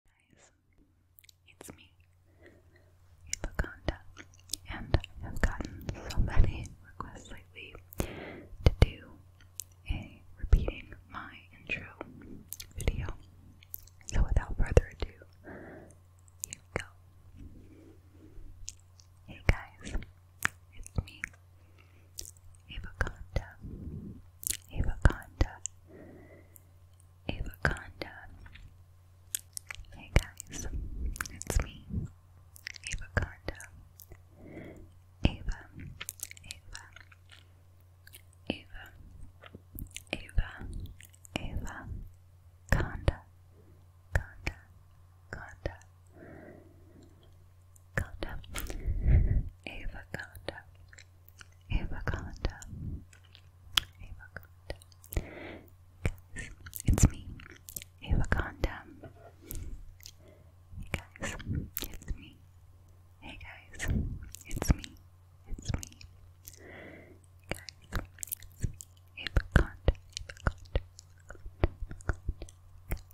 Hey guys, it's me, Hippoconda, and I have gotten so many requests lately to do a repeating my intro video. So without further ado, here we go. Hey guys, it's me, Avaconda, Avaconda, Avaconda. Hey guys, it's me, Avaconda. Ava, Ava, Ava, Ava, Ava, Conda, Conda, Conda. Avocado. Avocado. Avocado. Avocado. Guys, it's me. Avocado. Hey guys, it's me. Hey guys, it's me. It's me. Guys, it's me. Avocado. Avocado. Avocado.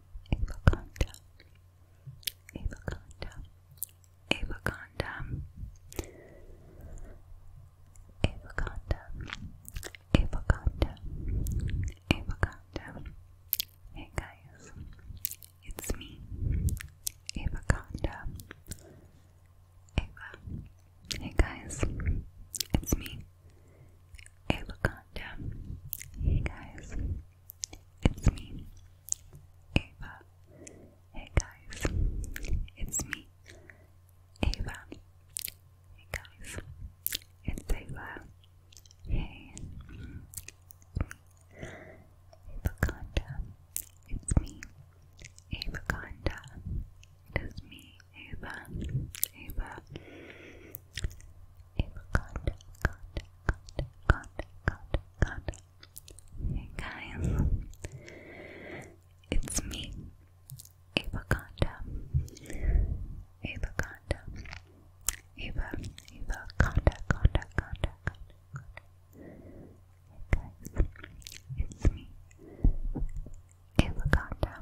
Avoconda, Avoconda, Avoconda, Avoconda, Avoconda, Avoconda. Hey guys, it's me, Avoconda. Ava. Hey guys, it's me, uh, Avaconda. Hey guys, it's me, Ava. Hey guys, it's me, Ava. Hey guys, it's Ava. Hey, Avaconda. It's me, Avaconda. It is me, Ava, Ava, Ava, contact, contact, contact, contact, contact. Hey guys, it's me, Ava Conda, Ava Conda, Ava, Ava Conda, Conda, Conda, Conda, Hey guys, it's me, Ava Conda.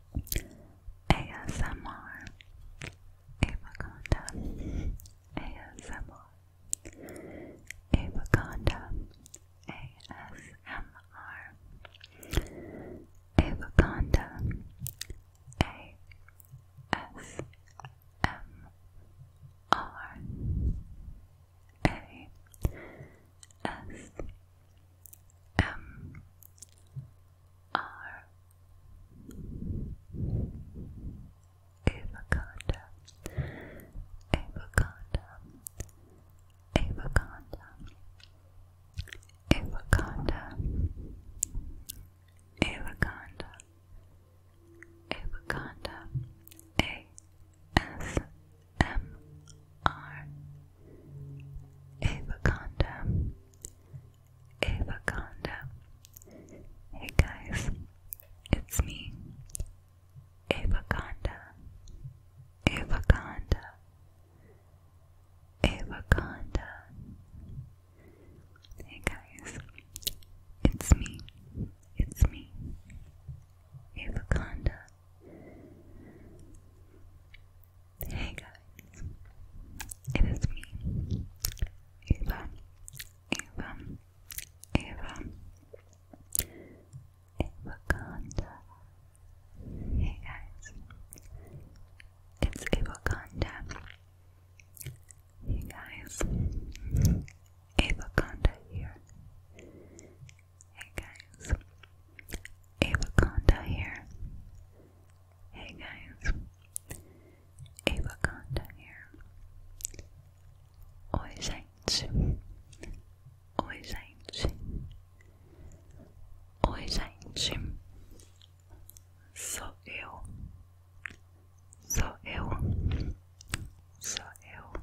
ASMR Avoconda ASMR Avoconda ASMR Avoconda ASMR are avocado, avocado, avocado, avocado, avocado, avocado, A S M R Avaconda. Avaconda. Hey guys, it's me. Avaconda. Avaconda. Avaconda. Hey guys, it's me. It's me. Avaconda. Hey guys, it is me, Eva, Eva, Eva, Eva Hey guys, it's Eva Hey guys, Eva here. Hey guys, Avaconda here. Hey guys, Avaconda here. Oi gente, oi gente, oi gente. Sou eu, sou eu, sou eu.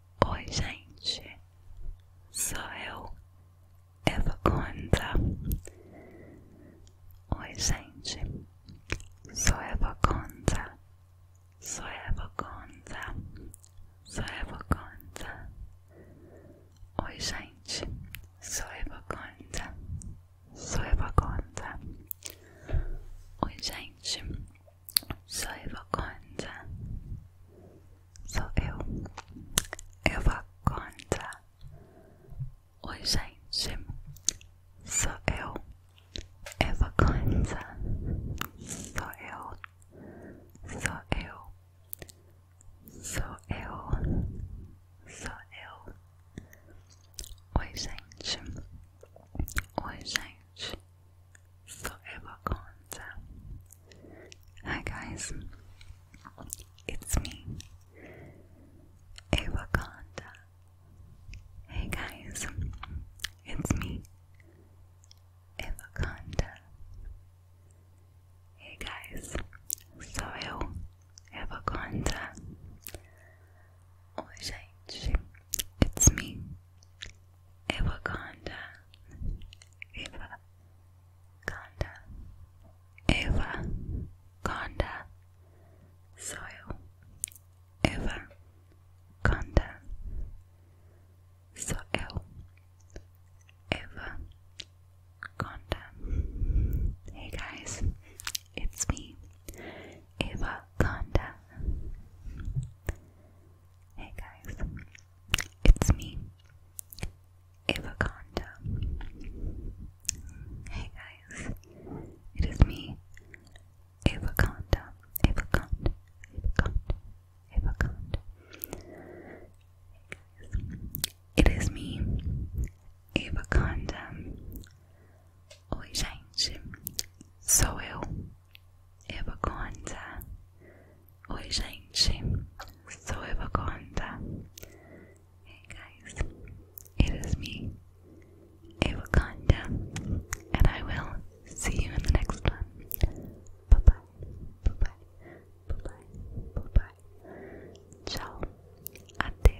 Oi, gente, sou eu, Eva Conta. Oi, gente, sou Eva Conta. Sou Eva Conta. Sou Eva Conta. Oi, gente, sou Eva Conta. Sou Eva Conta. Oi, gente, Sou Evaconda. Sou eu. Evaconda. Oi, gente. Sou eu. Evaconda. Sou eu. Sou eu. Sou eu. Sou eu. Oi, gente. Oi, gente. forever gone. Hi guys, it's me, Ava Conda. Hey guys, it's me, Ava Conda. Hey guys, sou eu, Eva Conda. Oi gente, it's me. Eva-Conda Eva-Conda Eva-Conda soil Eva-Conda soil Eva-Conda Hey guys, it's me Eva-Conda Hey guys, it's me, Avaconda. Hey guys, it is me, Avaconda. Avaconda, Avaconda, Avaconda. Hey guys, it is me, Avaconda. Oi, gente, sou eu, Eva Conta. Oi, gente, sou Eva Conta. Hey, guys, it is me, Eva and I will see you in the next one. Bye bye, bye bye, bye bye, bye bye. Ciao, até.